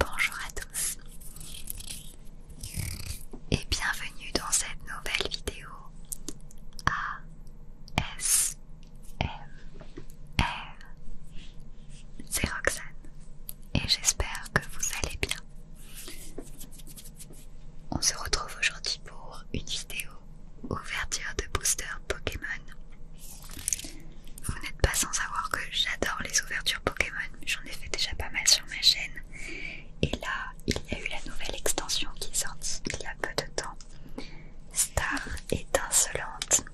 Bonjour à tous et bienvenue dans cette nouvelle vidéo ASMR. C'est Roxane et j'espère que vous allez bien. On se retrouve aujourd'hui pour une vidéo ouverture de booster Pokémon. Vous n'êtes pas sans savoir que j'adore les ouvertures Pokémon, j'en ai fait déjà pas mal sur ma chaîne. Et là, il y a eu la nouvelle extension qui est sortie il y a peu de temps. Star étincelante.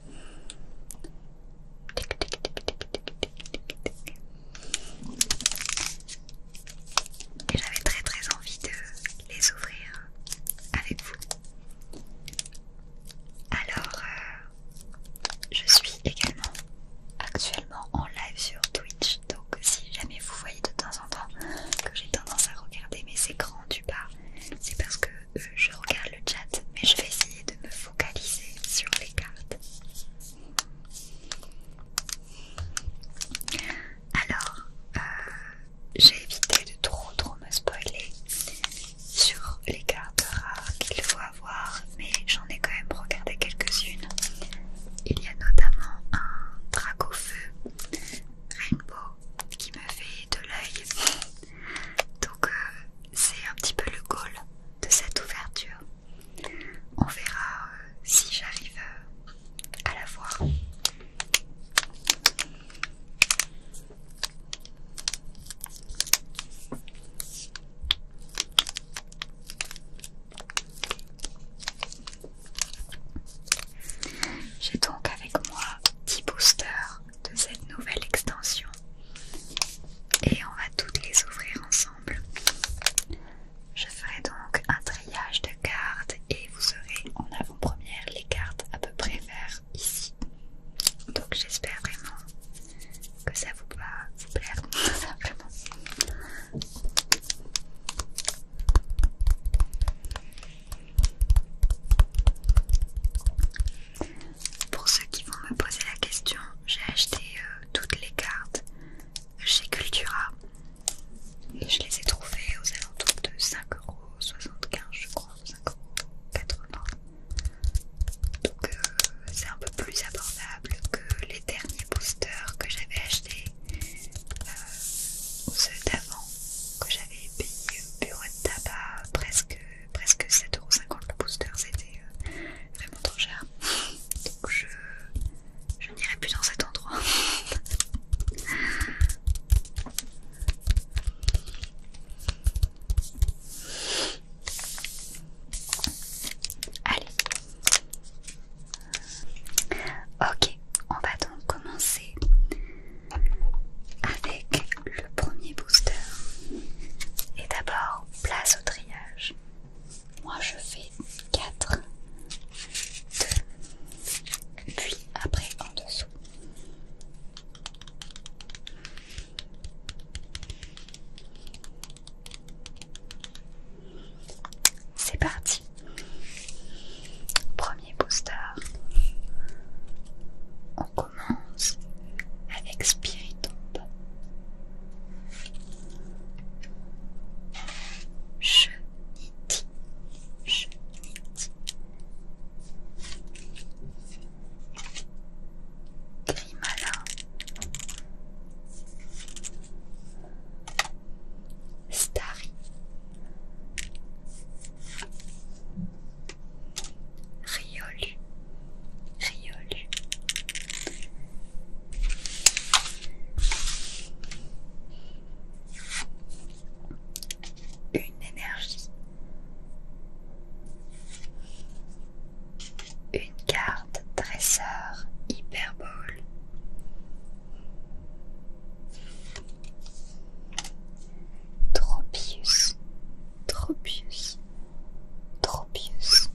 Et j'avais très très envie de les ouvrir avec vous. Alors, euh, je suis également actuellement en live sur Twitch, donc si jamais vous voyez de temps en temps que j'ai tendance à regarder mes écrans du bas, c'est parce que euh, je regarde le chat, mais je vais essayer de me focaliser sur les cartes. Alors, euh, j'ai évité de trop trop me spoiler sur les cartes rares qu'il faut avoir, mais j'en ai quand même regardé quelques-unes. Il y a notamment un dragon feu rainbow qui me fait de l'œil. Donc euh, c'est un petit peu le goal de cette ouverture. On verra euh, si j'arrive à la voir. J'ai donc avec moi 10 boosters de cette nouvelle extension et on va toutes les ouvrir ensemble. Je ferai donc un triage de cartes et vous aurez en avant-première les cartes à peu près ici. Donc j'espère vraiment que ça vous va vous plaire Pour ceux qui vont me poser la question, j'ai acheté euh, toutes les cartes chez Cultura je les ai trouvées aux alentours de 5,75€ je crois. 5,80€ Donc euh, c'est un peu plus abordable que les derniers boosters que j'avais achetés, ou euh, ceux d'avant que j'avais payé au bureau de tabac, presque, presque 7,50€ le booster, c'était euh, vraiment trop cher. Donc je n'irai plus dans cet endroit. Allez. Ok, on va donc commencer avec le premier booster. Et d'abord, place au triage. Moi je fais 4, 2, puis après en dessous. C'est parti. Premier booster. On commence avec Spiritomb. Grimala Starry. Riolu. Riolu. Une énergie une carte dresseur hyperbole. Tropius, Tropius, Tropius.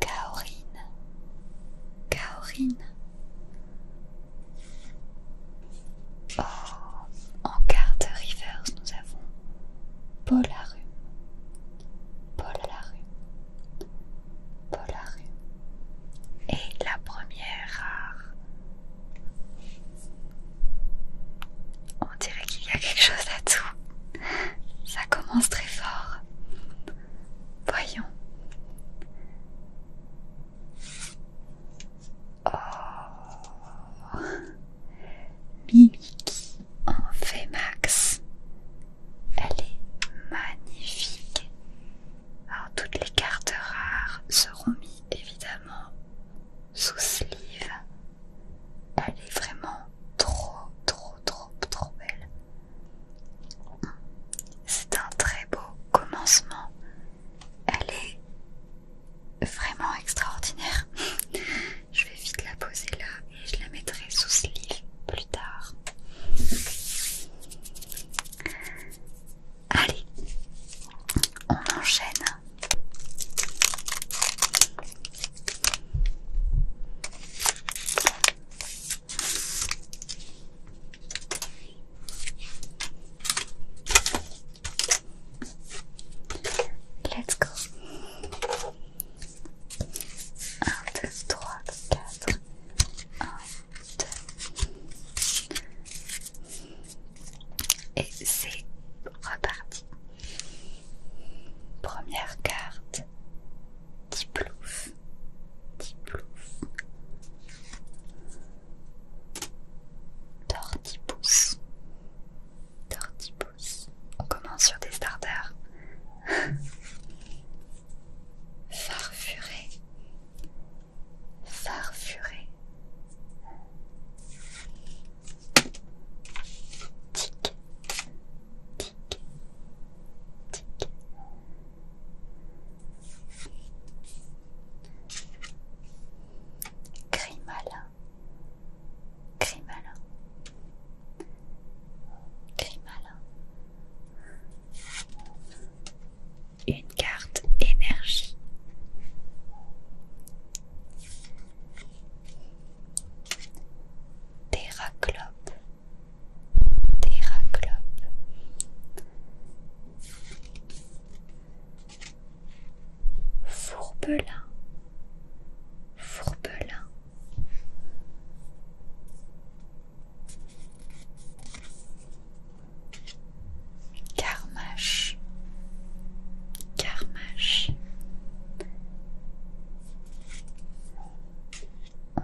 Kaorine, Kaorine en carte reverse, nous avons Paul Polarum, Paul rue, Et la première rare. On dirait qu'il y a quelque chose à tout, Ça commence très fort. Voyons. Oh. Ah. Mimiki en fait Elle est magnifique. Alors toutes les cartes rares seront mises évidemment sous sleeve. Elle est vraiment trop trop trop trop belle. C'est un très beau commencement. Elle est vraiment extraordinaire. je vais vite la poser là et je la mettrai sous ce livre plus tard. Allez, on enchaîne. Let's go. 1, 2, 3, 4. 1, 2. Et c'est reparti. Première carte. qui Diplouf plouf. On commence sur des starters. Farfuré. Farfuré. Tic. Tic. Tic. Grimalin, Grimalin, Grimalin. Une carte énergie. Terraclope, Terraclope, Fourbelin, Fourbelin. Carmache, Carmache.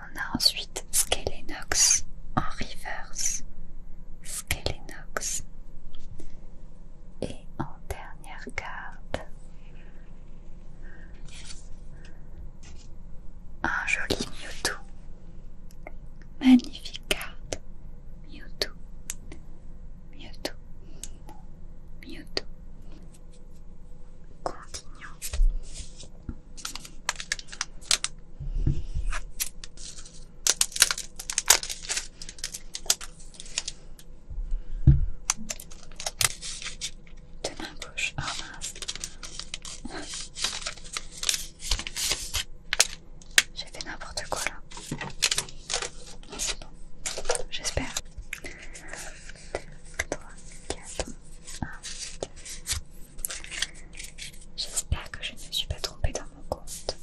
On a ensuite Skelenox en reverse. Skelenox. Et en dernière carte, un joli Mewtwo. Magnifique carte. Mewtwo. Mewtwo. Mewtwo. Continuons. De ma gauche, oh J'ai fait n'importe quoi là. Oh, j'espère. J'espère que je ne me suis pas trompée dans mon compte.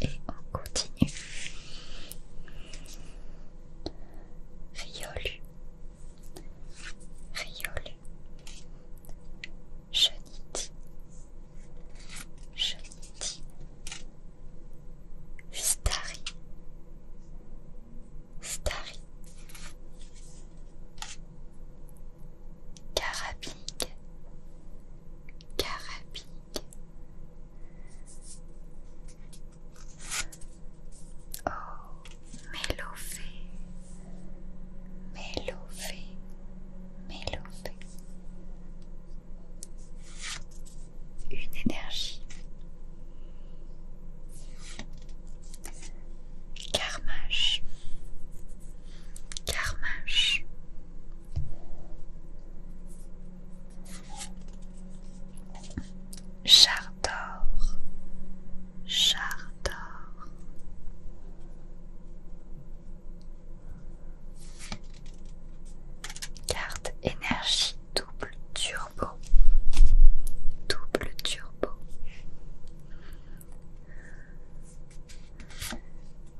Et on continue. Riolu, Riolu, Cheniti, Cheniti, Stari, Stari, Carabique, carabique, Oh, mélofé, mélofé, mélofé. Une énergie Carmache, Carmache. jardor. jardor. Carte énergie double turbo, double turbo.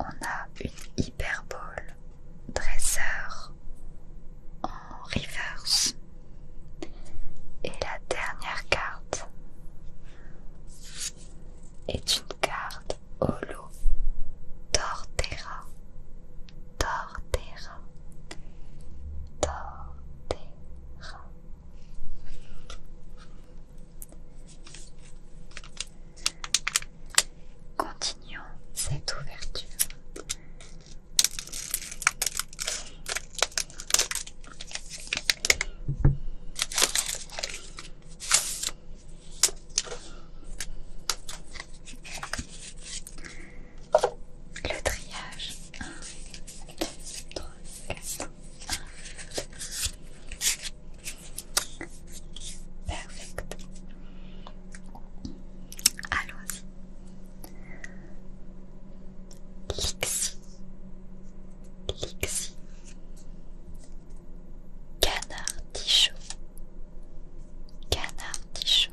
On a une hyperbole dresseur en reverse. Et la dernière carte est une carte holo Tortera. Tortera. Torterra. Continuons cette ouverture. Le triage Perfect. Allons-y. Canard tichot. Canard tichot.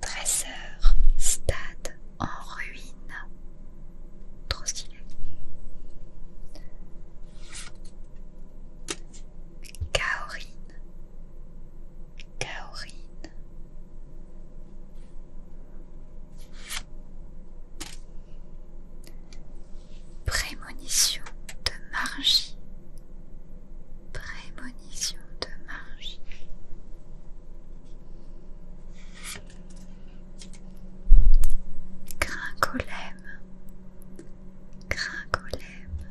Dresseur, stade en ruine. Trop stylé. Kaorine. Kaorine. Prémonition de Margie. Prémonition de magie. Gringolème. Gringolème.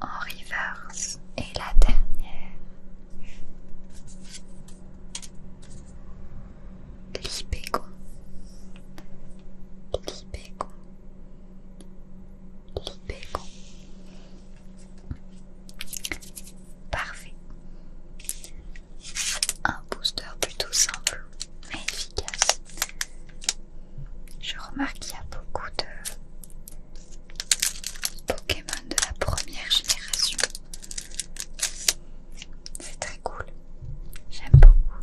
en reverse et la dernière. Libégo, Libégo est Parfait. Un booster plutôt simple mais efficace. Je remarque qu'il y a beaucoup de Pokémon de la première génération. C'est très cool. J'aime beaucoup.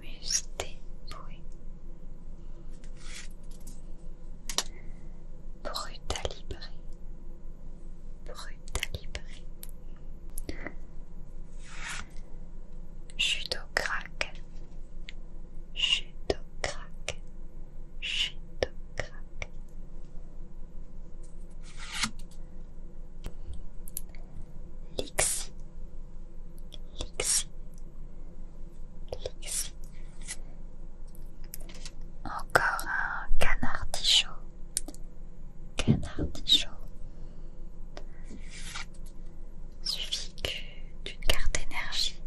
Musté Brutalibré Brutalibré Chuto crack Chuto crack crack Lixi Lixi. Lixi. Encore un canard tichot. Canard tichot. Suffit d'une carte énergie.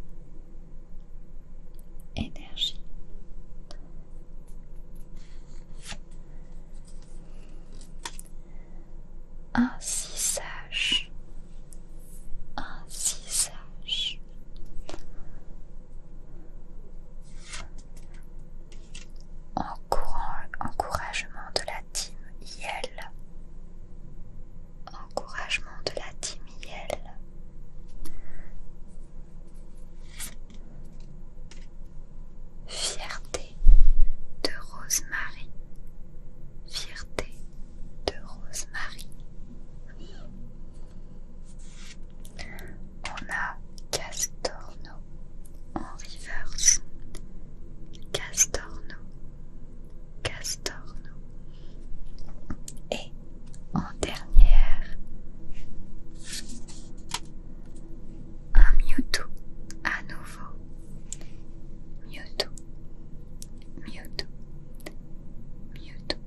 Énergie ainsi sache, encouragement de la team Yel. Encouragement de la team Yel. Fierté de Rosemary. Fierté de rosemary. On a Castorno en reverse. Castorno, Castorno. Et en dernière, un Mewtwo à nouveau. Mewtwo, Mewtwo. Mewtwo.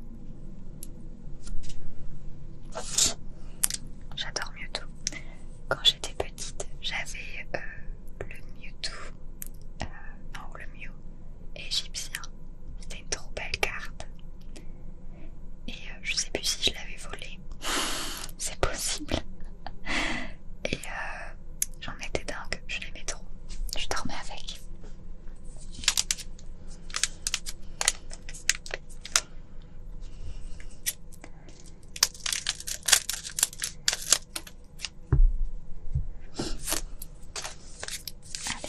J'adore Mewtwo. Quand j'étais petite, j'avais euh, le Mewtwo, euh, non le Mew égyptien. C'était une trop belle carte. Et euh, je sais plus si je l'avais volée. C'est possible. Et euh, j'en étais dingue, je l'aimais trop. Je dormais avec. Allez.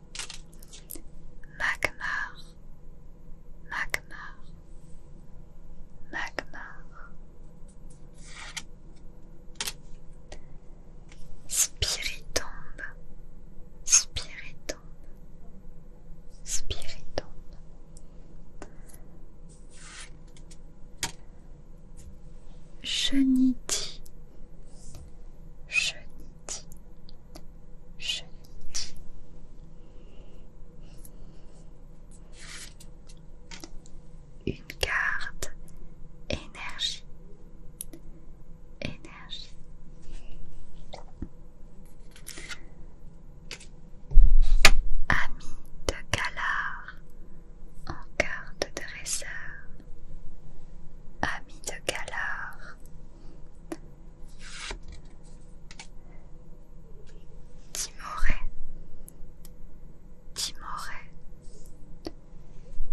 Magmar, Magmar, Magmar. Spiritombe, Spiritombe, Spiritombe. Cheniti, Cheniti. Une carte énergie, énergie. Ami de galard en carte de dresseur. Ami de galard Timoré, Timoré,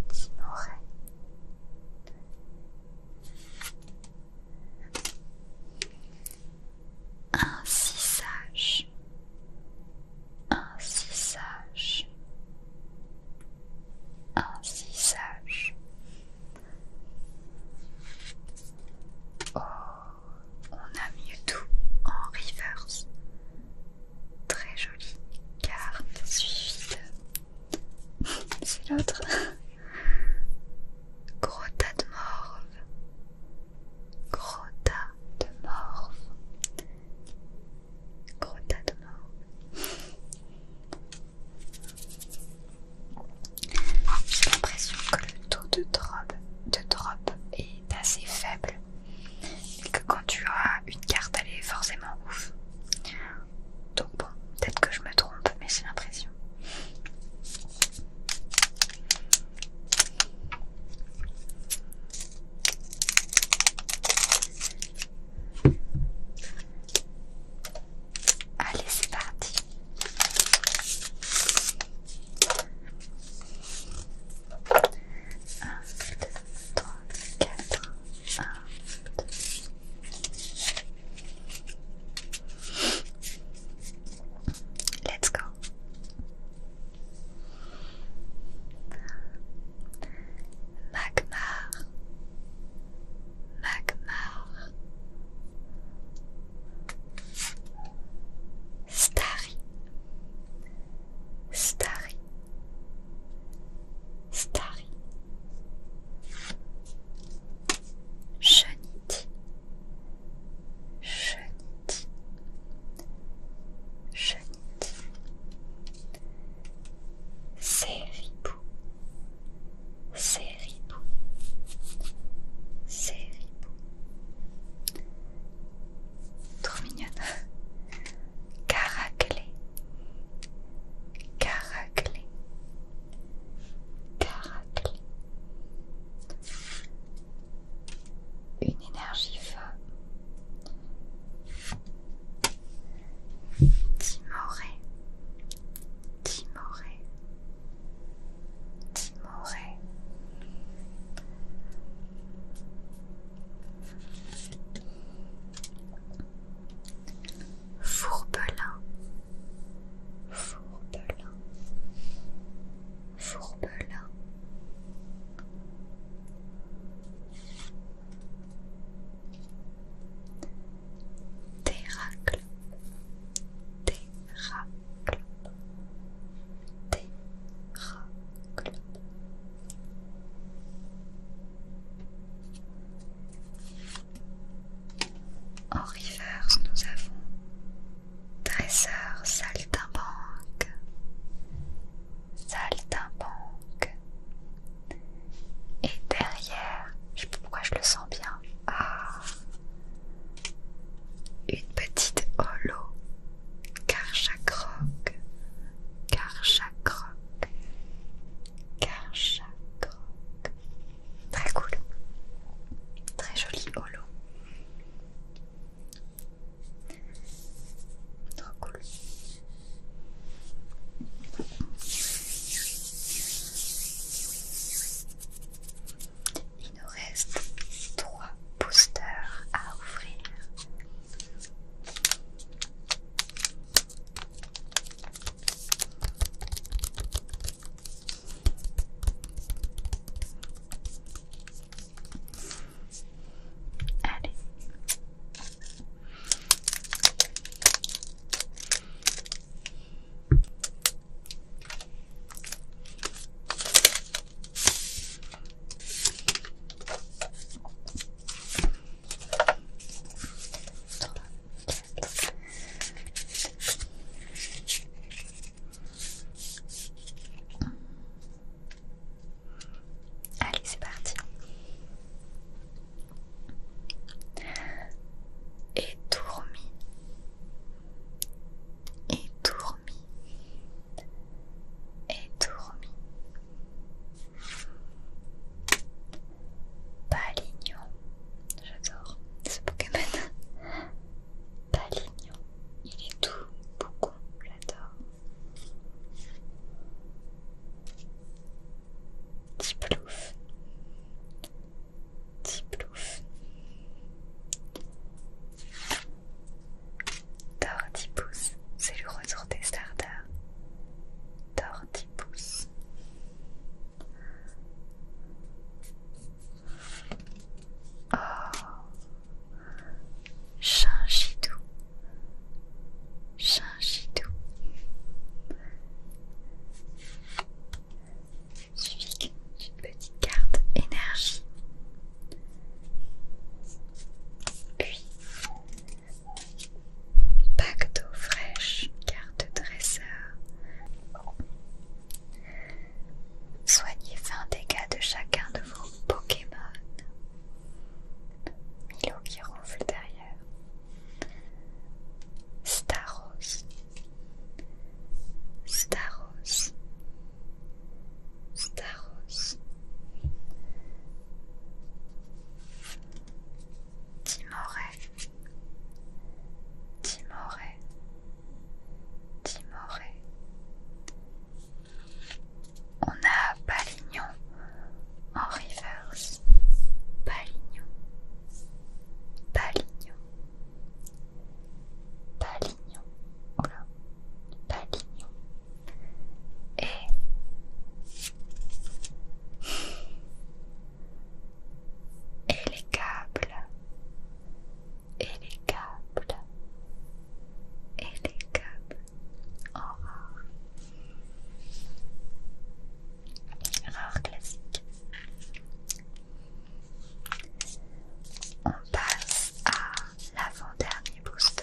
Timoré. Ainsi sage, ainsi sage, un sage. Oh, on a mieux tout en reverse. Très jolie carte suivie de. C'est l'autre. Gros de morve. Gros de morve. Gros de morve. J'ai l'impression que le taux de drop, de drop est assez faible et que quand tu as une carte, elle est forcément ouf. Donc bon, peut-être que je me trompe, mais j'ai l'impression. Allez, c'est parti. Un, deux, trois, quatre. Un, Let's go. Magmar Magmar, Starry, Starry, Starry, Chenite, Chenite, Chenite, Séribou, c'est C'est Seribou. Trop mignonne. Caraclé. Caraclé. Caraclé. Une énergie feu. Timoré. Timoré, Timoré. Fourbelin, Fourbelin, Fourbelin. Théracle, Théracle, Théracle. En reverse, nous avons dresseur saltimbanque, saltimbanque, et derrière, je sais pas pourquoi je le sens bien. Ah, une petite holo. carchacroc, chaque croque. Très cool. Très joli holo. Trop cool. Il nous reste 3 boosters à ouvrir. Allez Allez, c'est parti et étourmi, et dormi, Palignon, j'adore ce Pokémon. Palignon, il est tout, beaucoup, j'adore. plouf, Petit plouf. c'est le retour des stardars. Tortipousse. Oh Chinchidou. Chinchidou suivi d'une petite carte énergie. Puis, pack d'eau fraîche, carte dresseur. Soignez 20 dégâts de chacun de vos Pokémon. Milo qui ronfle derrière. Staros, Staros, Staros, Timoré, Timoré, Timoré. On a Palignon en river. Mars, Palignon, Palignon, Palignon, voilà, Palignon. Et et les câbles, et les câbles, et les câbles. rare, rare classique. On passe à l'avant-dernier booster.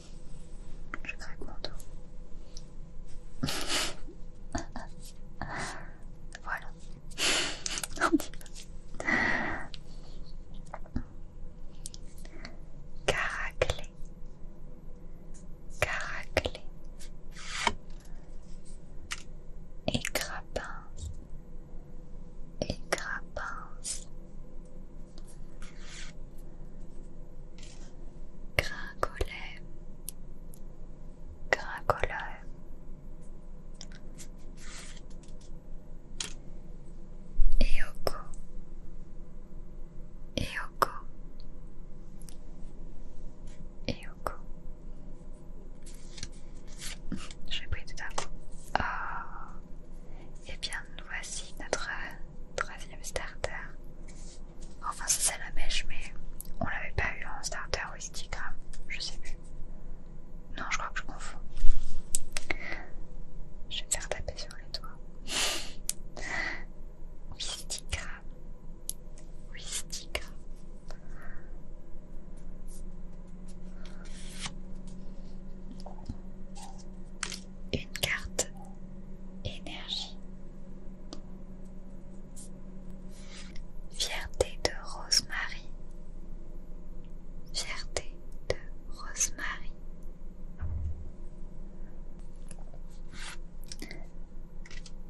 Je craque mon dos. voilà. Caraclé. Caraclé. Et crapince. Et Gringolet, gringoleur, Eoko, Eoko, Eoko. Je vais tout à coup. Oh. Et eh bien, voici notre très un starter. Enfin, c'est la mèche, mais on l'avait pas eu en starter ou je sais plus. Non, je crois que je confonds. Je vais faire taper sur les doigts. Wistigram. Wistigram une carte énergie. Fierté de Rosemary. Fierté de Rosemary.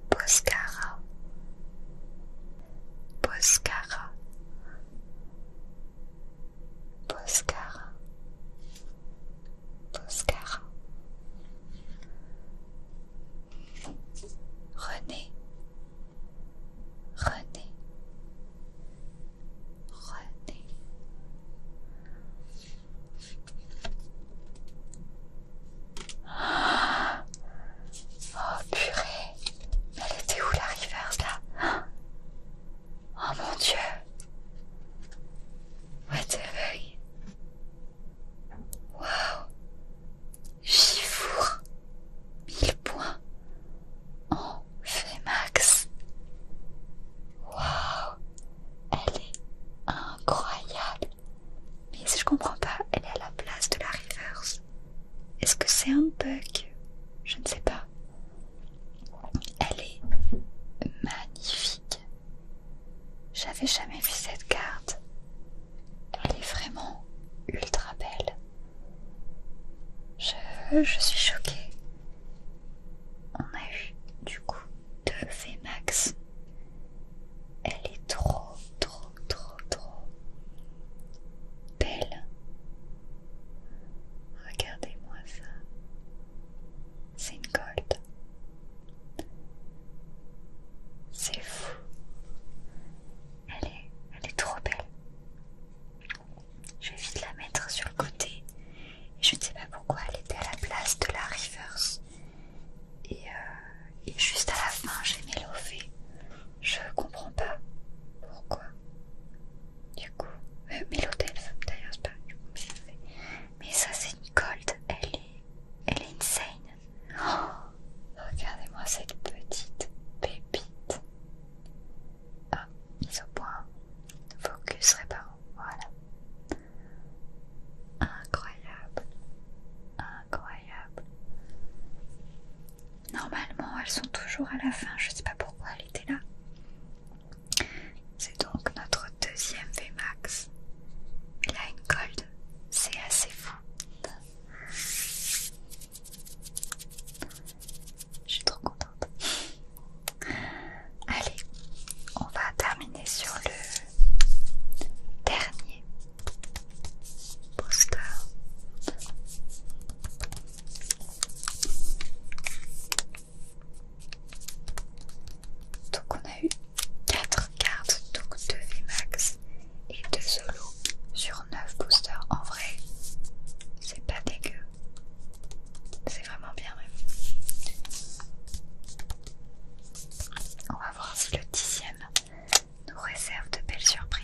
Boscara. Boscara. Boscara. Oscar. René, René, René. Oh purée, elle était où la reverse là Oh mon dieu What the Wow Gifour 1000 points en fait max. Wow Elle est incroyable Mais si je comprends pas, elle est à la place de la reverse. Est-ce que c'est un bug Je ne sais pas. Elle est magnifique. J'avais jamais vu cette carte. Elle est vraiment ultra belle. Je, je suis choquée. On a eu du coup deux Vmax. Elle est trop, trop, trop, trop belle. Regardez-moi ça. C'est une gold. C'est fou. Elle est, trop belle. Je vais vite la mettre sur le côté. Je ne sais pas pourquoi elle était à la place de la Reverse, Et, euh, juste à la fin, j'ai mis je Je comprends pas pourquoi. Du coup, euh, mais d'ailleurs, c'est pas du coup, mais ça c'est Gold, elle est, elle est insane. Oh, regardez-moi cette petite pépite. Ah, mise au point. Focus réparant. Voilà. Incroyable. Incroyable. Normalement, elles sont toujours à la fin. Je ne sais pas pourquoi elle était là. C'est donc notre deuxième Vmax. Il a une gold, c'est assez fou. Je suis trop contente. Allez, on va terminer sur le dernier poster. Donc on a eu 4 cartes, donc 2 VMAX et 2 solo sur 9 boosters. En vrai, c'est pas dégueu. C'est vraiment bien même. On va voir si le 10ème nous réserve de belles surprises.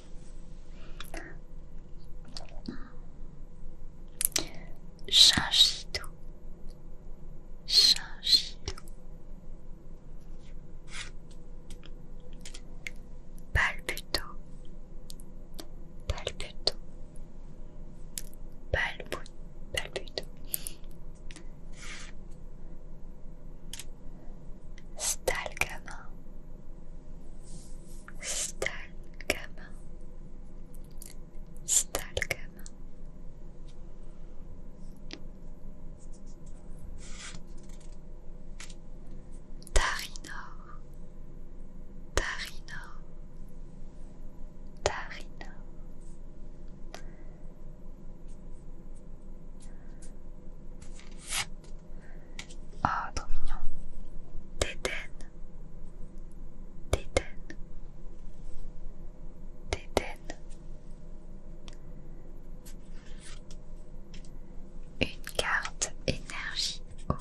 Chinchidou, Chinchidou, balbuto, balbuto, Palputo, balbuto, Stalgamin, Stalgama Stalgama Tarinor Tarinor Tarinor Oh, trop mignon. Tétène. Tétène. Tétène. Une carte énergie eau. Oh.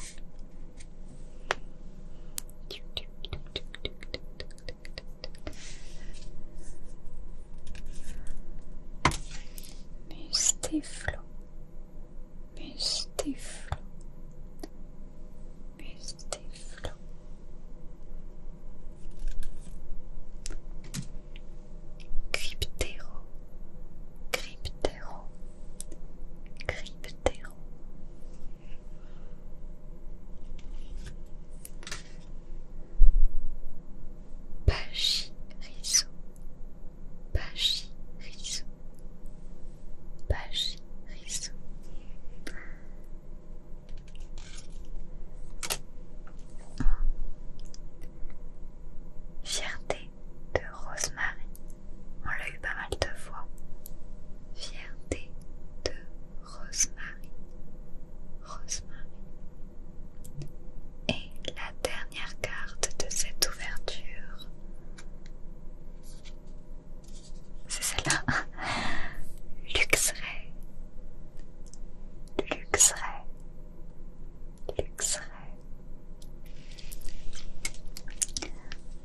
Mustéflo. Cryptero Cryptero Cryptero, Cryptéro, riso Pachirizo, riso Pachiris. Fierté de Rosemary. On l'a eu pas mal de fois. Fierté de Rosemary. Rosemary. Et la dernière carte de cette ouverture c'est celle-là. Luxray. Luxray. Luxray.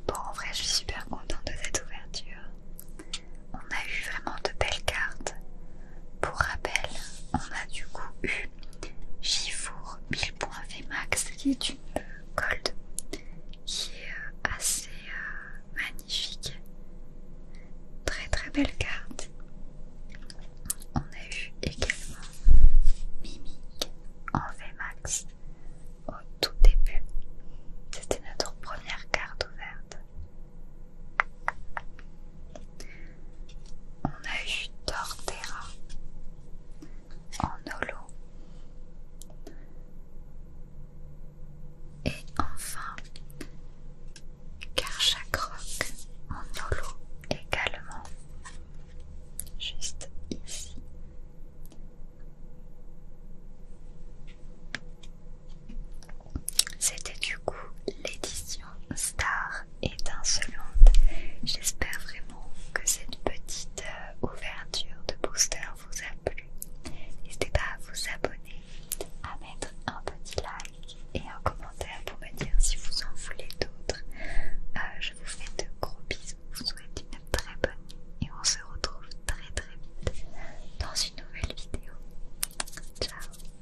Bon, en vrai, je suis super contente de cette ouverture. On a eu vraiment de belles cartes. Pour rappel, on a du coup eu Gifour 1000 points VMAX qui est une Gold qui est assez euh, magnifique. Très très belle carte. On a eu également Mimic en VMAX au tout début. C'était notre première carte ouverte. On a eu Torterra en holo. Et enfin, chaque Rock en holo également, juste ici. C'était du coup l'édition Star et d'un seul J'espère vraiment que cette petite euh, ouverture de booster vous a plu. N'hésitez pas à vous abonner, à mettre un petit like et un commentaire pour me dire si vous en voulez d'autres. Euh, je vous fais de gros bisous, je vous souhaite une très bonne nuit et on se retrouve très très vite dans une nouvelle vidéo. Ciao